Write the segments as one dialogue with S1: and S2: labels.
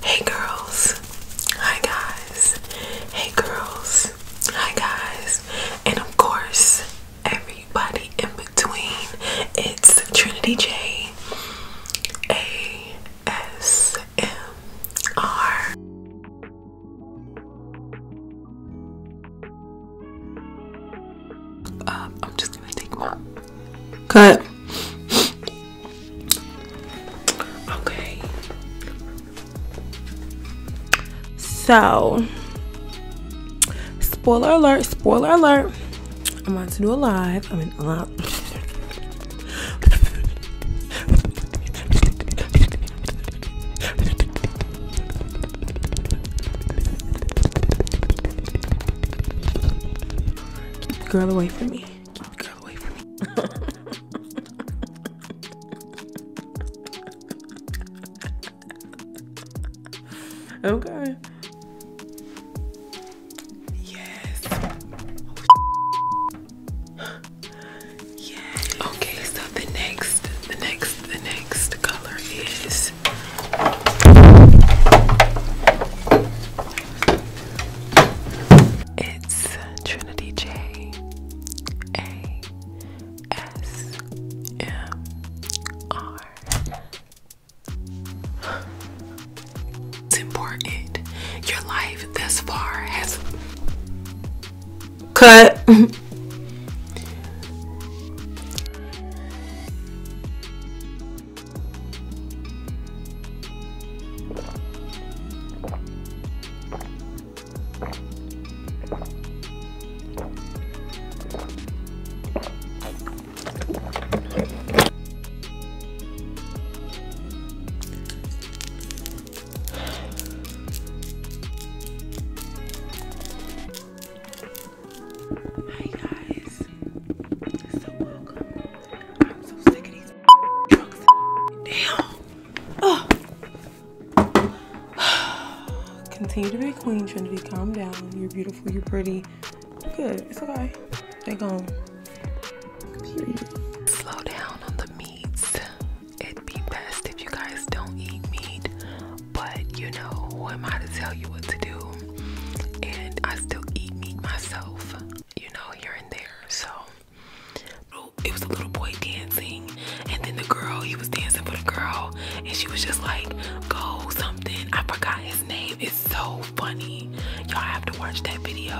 S1: Hey girls, hi guys, hey girls, hi guys, and of course, everybody in between. It's Trinity J A S M R. Uh, am just gonna take my Cut. Okay. So, spoiler alert, spoiler alert. I'm about to do a live. I am in a lot. girl away from me okay. Yes. yes. Okay, so the next, the next, the next color is it's Trinity J A S M R. It's important. Your life thus far has cut. Hi guys, so welcome I'm so sick of these trucks. Continue to be queen, Trinity. Calm down. You're beautiful. You're pretty. Good. It's okay. They gone. Period. Slow down on the meats. It'd be best if you guys don't eat meat. But you know, who am I to tell you what to do? and I still eat meat myself, you know, here and there. So oh, it was a little boy dancing, and then the girl, he was dancing for the girl, and she was just like, Go something. I forgot his name. It's so funny. Y'all have to watch that video.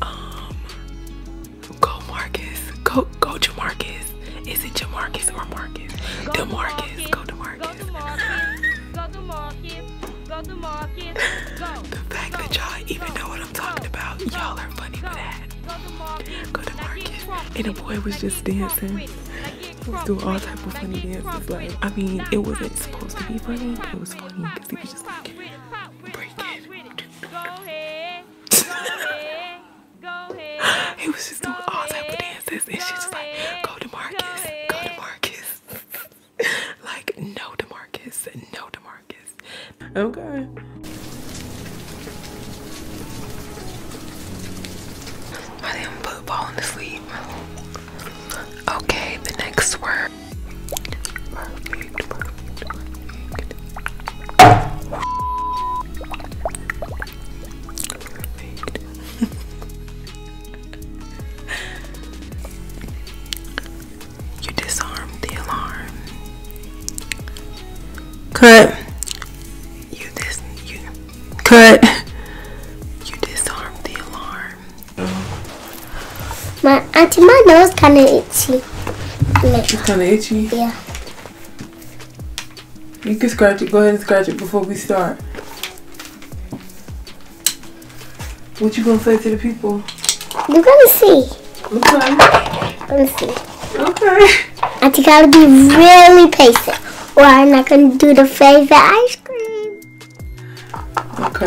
S1: Um Go Marcus. Go go Jamarcus. Is it Jamarcus or Marcus? Go DeMarcus. Marcus. Go to Go Go to market. Go to market. Go. the fact go, that y'all even go, know what I'm talking go, about, y'all are funny for that. Go to market. Go to market. And the boy was just dancing. He was doing all type of funny dances. Like, I mean, it wasn't supposed to be funny. It was funny because he was just like, break it. Go ahead. Go ahead. Go ahead. He was just doing all type of dances. And she's just like, go to Marcus. Go to Marcus. like, no DeMarcus. No DeMarcus. Okay. I didn't put falling asleep. Okay, the next word. You disarm the alarm. Cut. You dis cut. You disarmed the alarm. My auntie, my nose kind of itchy. It's kind of itchy. Yeah. You can scratch it. Go ahead and scratch it before we start. What you gonna say to the people? we are gonna see. Okay. Gonna see. Okay. I just gotta be really patient, or I'm not gonna do the favorite ice cream. Okay.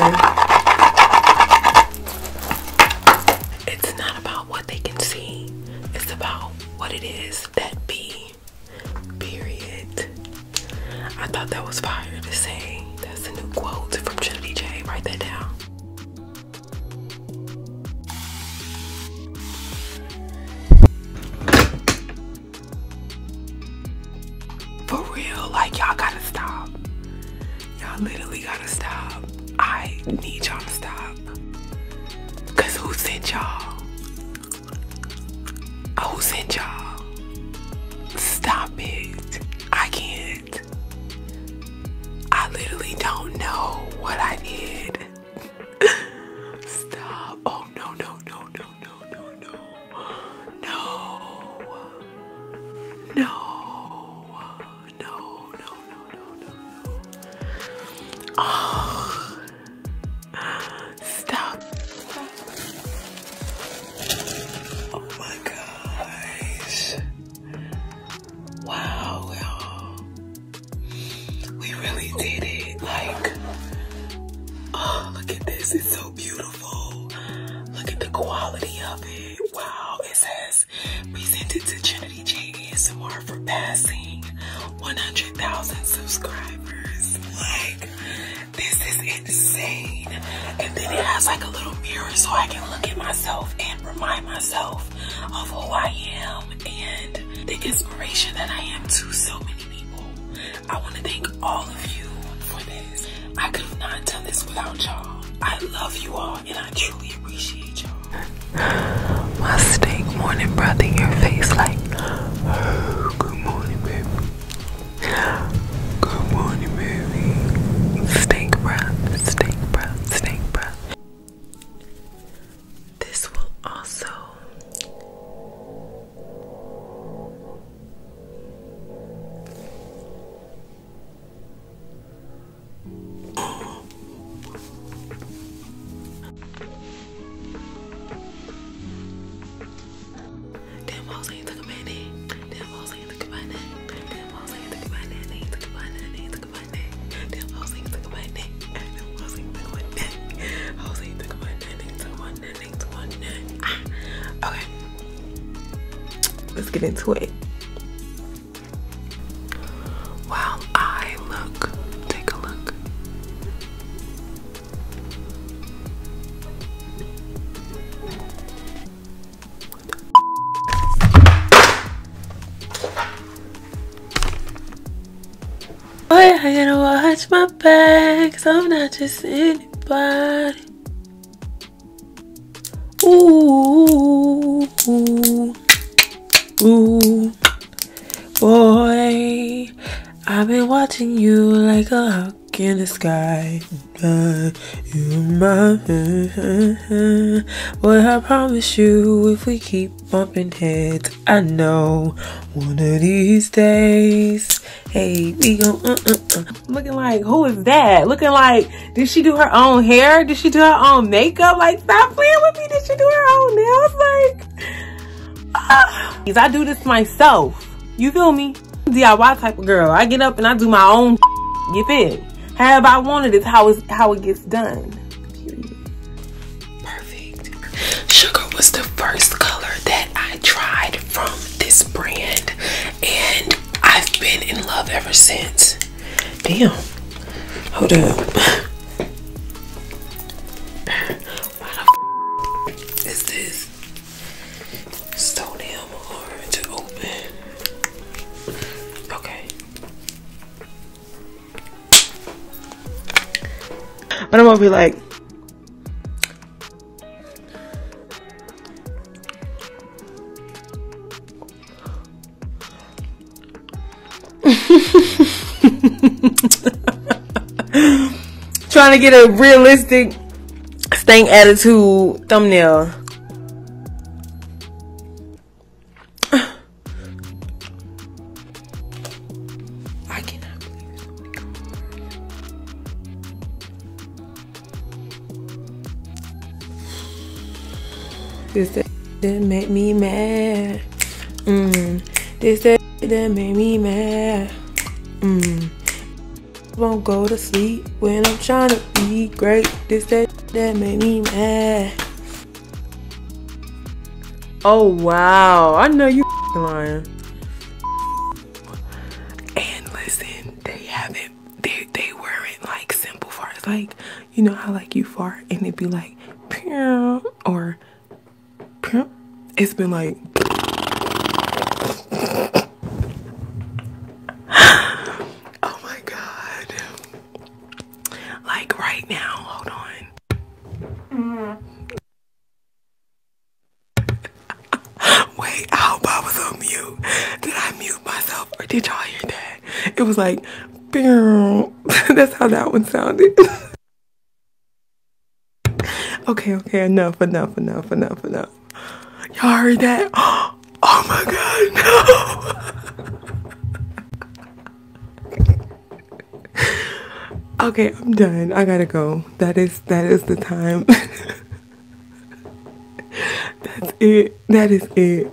S1: It's not about what they can see. It's about what it is that be Period. I thought that was fire to say. That's a new quote from Trinity J. Write that down. For real, like y'all gotta stop. Y'all literally gotta stop. I need y'all to stop. Cause who sent y'all? Oh, sent Stop it. I can't. I literally don't know what I did. Stop. Oh, no, no, no, no, no, no, no. No. No. No, no, no, Stop. Oh my gosh. Wow, We really did it. Like, oh, look at this. It's so beautiful. Look at the quality of it. Wow, it says presented to Trinity J ASMR for passing 100,000 subscribers. Like, this is insane. And then it has like a little mirror so I can look at myself and remind myself of who I am and the inspiration that I am to so many people. I want to thank all of you for this. I could have not done this without y'all. I love you all and I truly appreciate y'all. My Mustang morning, breath in Your face like, oh, good morning, baby. Good morning, baby. Stink breath, stink breath, stink breath. This will also Damn, I ain't talking about that. Damn, I ain't talking about that. Damn, I ain't talking about that. Ain't talking Ain't talking about that. Damn, I ain't talking about that. Damn, I was ain't talking about that. I was ain't talking about that. Ain't talking about that. Ain't talking about that. Okay, let's get into it. While I look, take a look, Boy, I gotta watch my back, so I'm not just anybody. Ooh, ooh, ooh. Boy, I've been watching you like a hawk in the sky. but You my Boy, I promise you if we keep bumping heads, I know one of these days. Hey, we gon' uh, uh, uh. looking like who is that? Looking like did she do her own hair? Did she do her own makeup? Like stop playing with me. Did she do her own nails? Like like, I do this myself. You feel me? DIY type of girl. I get up and I do my own Get feel? Have I wanted it? how it gets done? Perfect. Sugar was the first color that I tried from this brand, and I've been in love ever since. Damn. Hold up what the is this? So damn hard to open. Okay. I don't gonna be like, Trying to get a realistic stank attitude thumbnail. I cannot. This that, that made me mad. Mm. This that that made me mad. Mm. Won't go to sleep when I'm trying to be great. This that that make me mad. Oh wow! I know you lying. And listen, they haven't. They they weren't like simple parts like you know how like you fart and it'd be like Pew, or Pew. it's been like oh my god like right now hold on Wait, I hope I was on mute. Did I mute myself or did y'all hear that? It was like, that's how that one sounded. okay, okay, enough, enough, enough, enough, enough. Y'all heard that? Oh my god, okay, I'm done. I gotta go. That is that is the time. That's it that is it.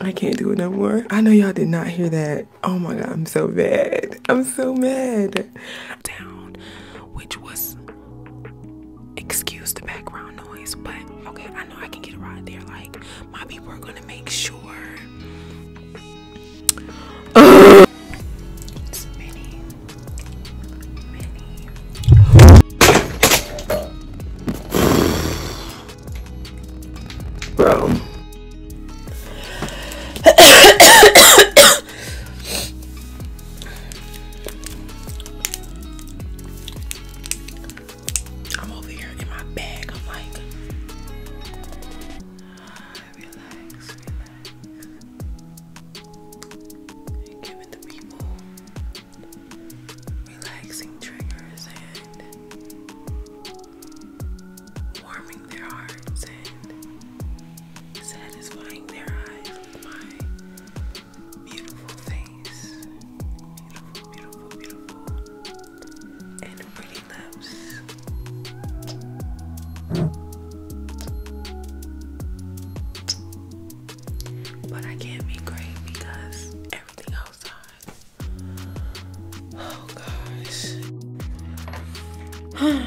S1: I can't do it no more. I know y'all did not hear that. Oh my god, I'm so mad. I'm so mad. Down, which was excuse the background noise, but okay, I know I can get a ride there. Like my people are gonna make sure. Uh, Bro. I'm over here in my bag. I'm like, relax, relax. Give it to people relaxing triggers and warming their hearts and satisfying their eyes with my beautiful face. Beautiful, beautiful, beautiful. And pretty lips. But I can't be great because everything outside Oh gosh. mm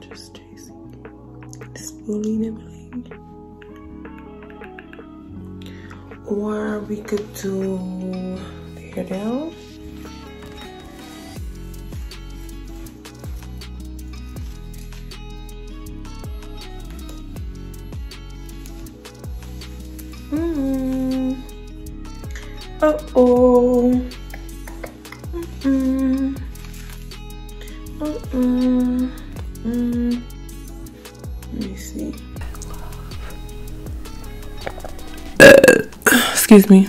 S1: just chasing slowly nibbling or we could do the hair down Mm. Uh oh. Mm -mm. Mm Let me see. Uh, excuse me.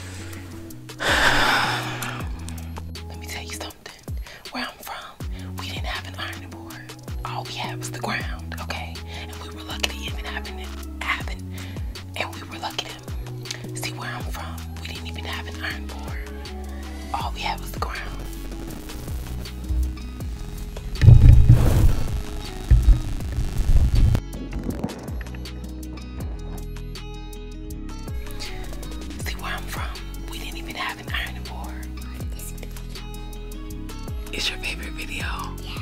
S1: Let me tell you something. Where I'm from, we didn't have an ironing board. All we had was the ground, okay? And we were lucky to even have it happen. And we were lucky to see where I'm from. We didn't even have an iron board. All we had was the ground. See where I'm from? We didn't even have an ironing board. It's your favorite video? Yes.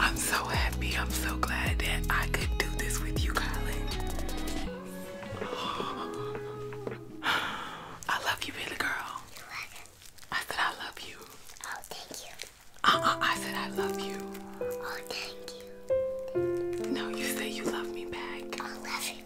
S1: I'm so happy. I'm so glad that I could do this with you, Colin. I love you, baby girl. I said I love you. Oh, thank you. Uh-uh, I said I love you. Oh, thank you. No, you say you love me back. I love you.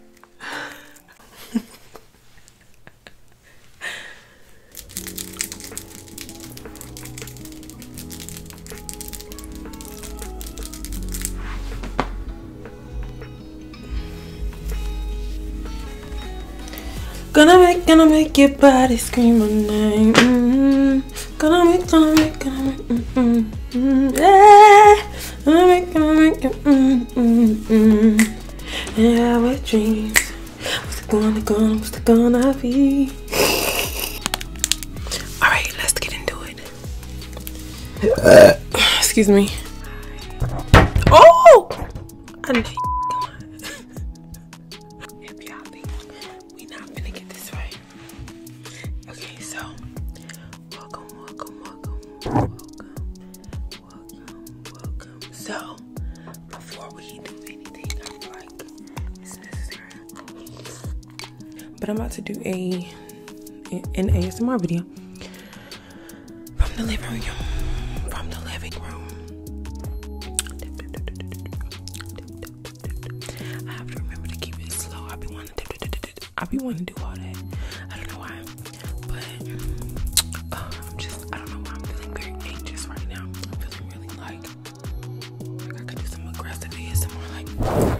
S1: Gonna make, gonna make your body scream my name. Mm-hmm. Gonna make, gonna make, gonna make, mm-hmm, mm-hmm. yeah. Gonna make, gonna make, yeah. Our dreams, what's gonna, going what's it gonna be? All right, let's get into it. excuse me. Oh, I know we not gonna get this right. Okay, so welcome, welcome, welcome, welcome, welcome, welcome. So before we do anything, I feel like it's necessary. But I'm about to do a an ASMR video from the living room. From the living room. I have to remember to keep it slow. I be wanting to, I be wanting to do all that. I don't know why, but uh, I'm just, I don't know why I'm feeling very anxious right now. I'm feeling really like, I could do some aggressive ASMR, like.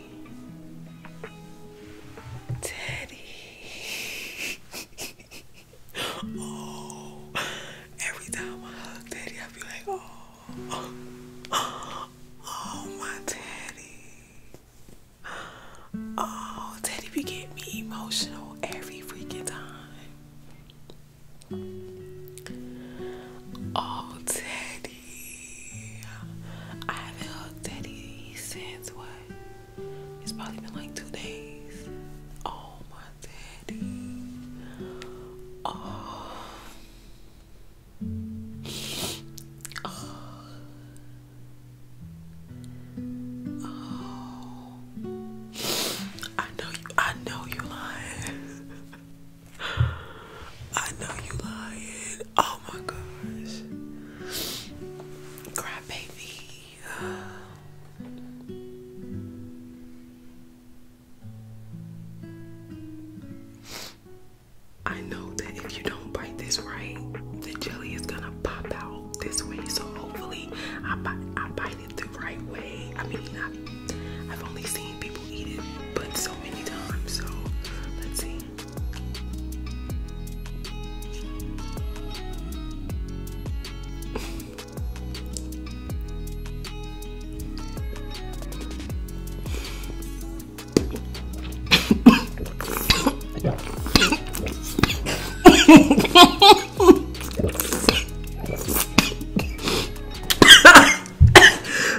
S1: Teddy. oh, every time I hug Teddy, I feel like, oh, oh, oh my Teddy. Oh, Teddy you get me emotional every freaking time. Oh, Teddy. I haven't hugged Daddy since what? It's probably been like two days. Oh my daddy. Oh. Oh. oh. I know you I know you lying. I know you are lying. Oh my gosh. Cry I know that if you don't bite this right, the jelly is gonna pop out this way. So hopefully I bite I bite it the right way. I mean I've only seen people but so many times. So let's see.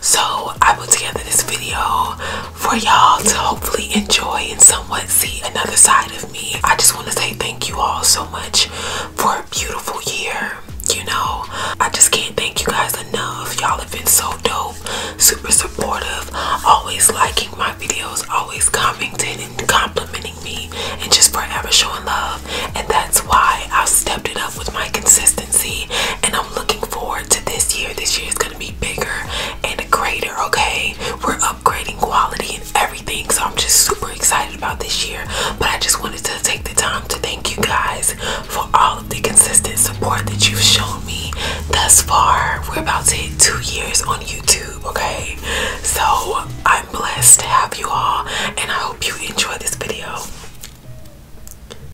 S1: So I put together this video for y'all to hopefully enjoy and somewhat see another side of me. I just want to say thank you all so much for a beautiful year. You know, I just can't thank you guys enough. Y'all have been so dope, super supportive, always liking my videos, always commenting and complimenting me, and just forever showing love. And that's why i stepped it up with my consistency and I'm looking forward to this year. This year is going to be bigger and greater, okay? We're upgrading quality and everything. So I'm just super excited about this year. But I just wanted to take the time to thank you guys for all of the consistent support that you've shown me thus far. We're about to hit two years on YouTube, okay? So I'm blessed to have you all and I hope you enjoy this video.